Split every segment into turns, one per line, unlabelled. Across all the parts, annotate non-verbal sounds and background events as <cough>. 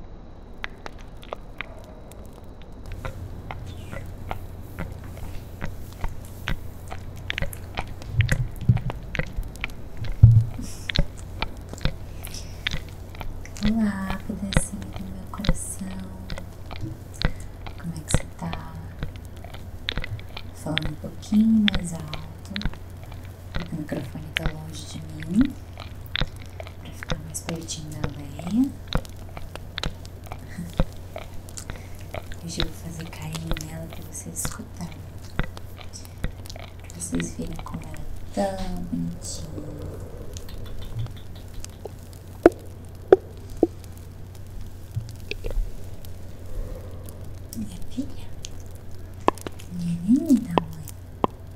Olá, pedacinho do meu coração. Como é que você tá? Falando um pouquinho mais alto. O microfone tá longe de mim. Pra ficar mais pertinho da lenha. Hoje <laughs> eu vou fazer cair nela pra vocês escutarem. Pra vocês verem como ela é tão bonitinha. Minha filha, minha linda mãe,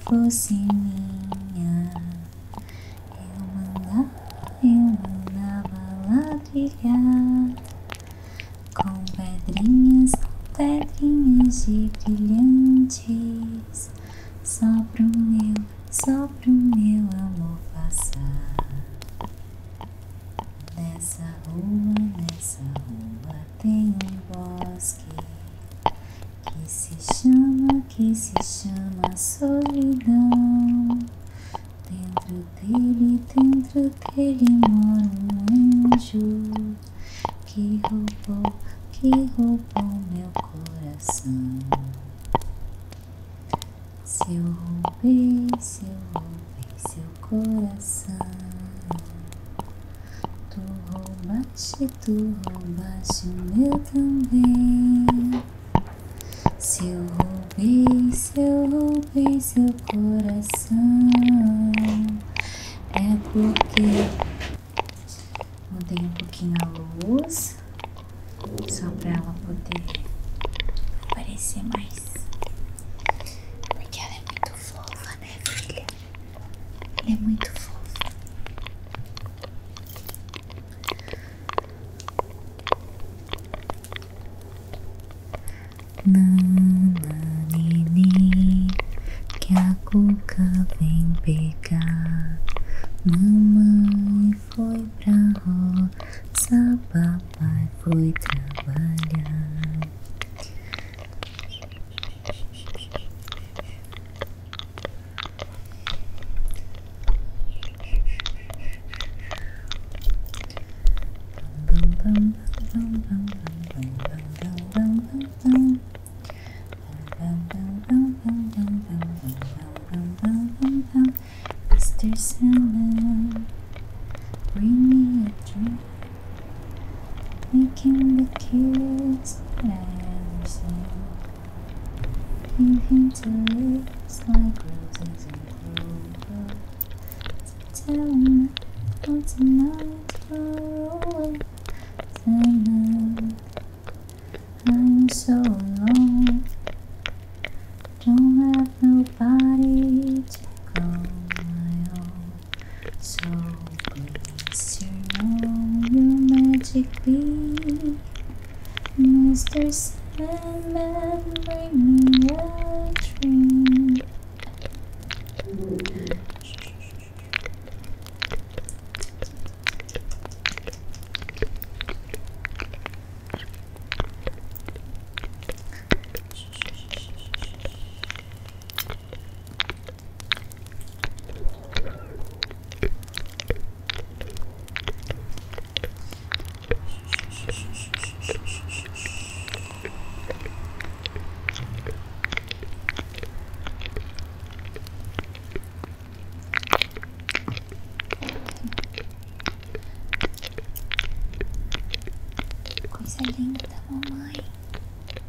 fosse minha, eu mandava, eu mandava ladrilhar com pedrinhas, pedrinhas de brilhantes, só pro meu, só pro meu amor passar. Nessa rua, nessa rua tem um bosque que se chama, que se chama solidão. Dentro dele, dentro dele mora um anjo que roubou, que roubou meu coração. Se eu roubei, se eu roubei seu coração, tu roubaste se tu roubaste o meu também. Se eu roubei, se eu roubei seu coração, é porque mudei um pouquinho a luz, só pra ela poder aparecer mais. Porque ela é muito fofa, né, filha? Ele é muito fofo. Nana que a cuca vem pegar. Mamãe foi pra roça, papai foi trabalhar. Mr. Sandman, bring me a drink. Making the kids and Painted like roses in clover. So tell me for tonight far away. Tonight I'm so alone. Don't have nobody to call my own. So Surround your magic beam Mr. Sandman, bring me dream Coisa linda, mamãe.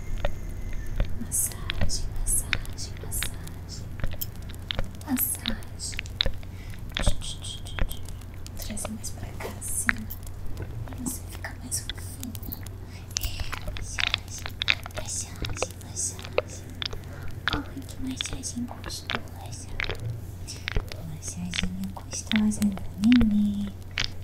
Massagem, massagem, massagem. Massagem. Trazer mais pra cá assim. Pra você ficar mais fofinha. É, massagem, massagem, massagem. Ai, que massagem gostosa. Massaginha gostosa do neném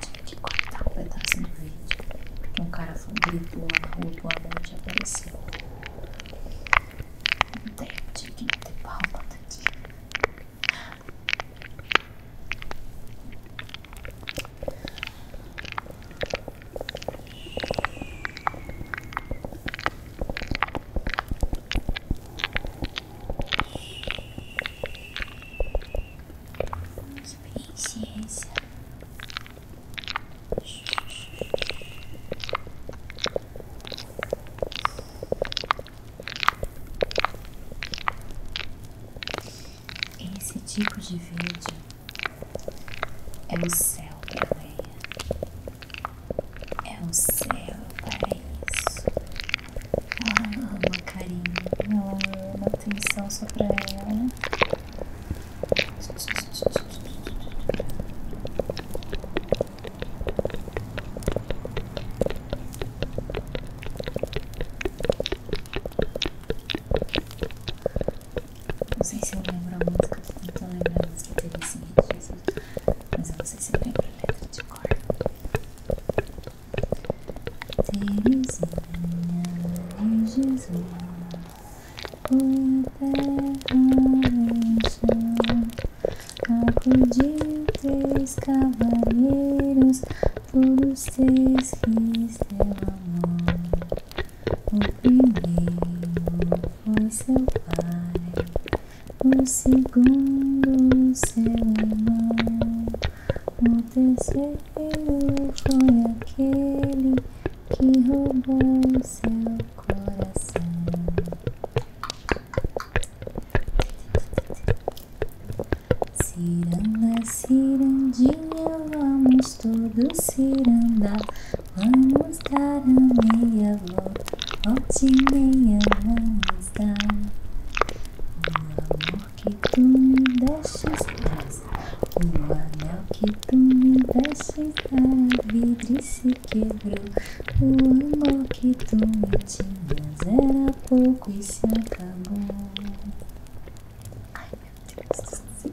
Tive que cortar um pedaço do vídeo. Porque um cara foi gritou na rua que o apareceu. Não tem, tive que meter pau aqui. Ai, Experiência. Esse tipo de vídeo é o céu da areia. É o céu, para isso. ama carinho, ela ama atenção só pra ela. Não sei se eu lembro a música, tô tentando lembrar a música mas eu não sei se eu a letra de cor. Terezinha e Jesus, o eterno acudiu três cavaleiros, todos três quis amor. O primeiro foi seu pai, o segundo seu irmão, o terceiro foi aquele que roubou seu coração. Ciranda, cirandinha, vamos todos ciranda. Vamos dar a meia volta, volte e meia vamos dar. O amor que tu me deixas traz, o anel que tu me deixas dar, a vidre se quebrou. O amor que tu me tinhas era pouco e se acabou. Ai meu Deus do céu.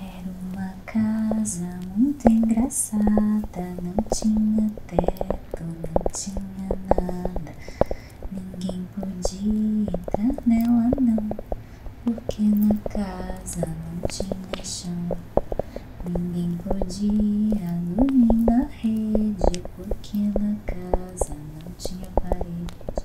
Era uma casa muito engraçada, não tinha teto, não tinha nada. Ninguém podia entrar nela não, porque na casa não tinha chão. Ninguém podia dormir na rede, porque na casa não tinha parede.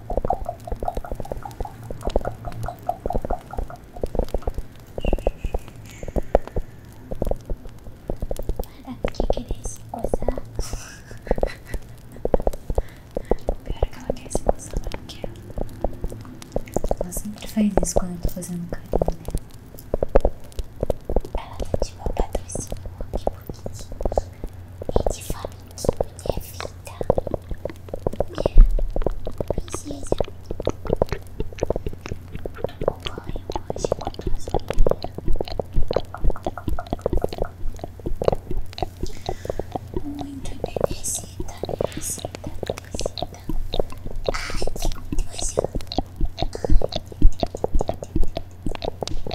Para ah, que querer se coçar? o pior é que ela quer se coçar, mas não quer. Ela sempre faz isso quando eu estou fazendo carinho nela. Ela tá de meu patrocínio aqui, porque é de família minha vida, minha princesa. O banho hoje com gasolina. Muito bebecita, bebecita, bebecita. Ai, que gostoso. Ai,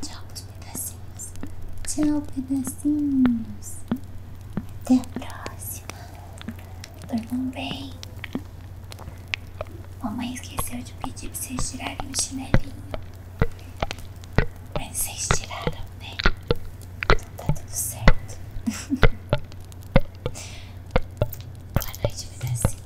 Tchau, pedacinhos. Tchau, pedacinhos. Até a próxima. Dormam bem. Mamãe esqueceu de pedir pra vocês tirarem o chinelinho. Mas vocês tiraram, né? Então tá tudo certo. <laughs> Boa noite, pedacinho.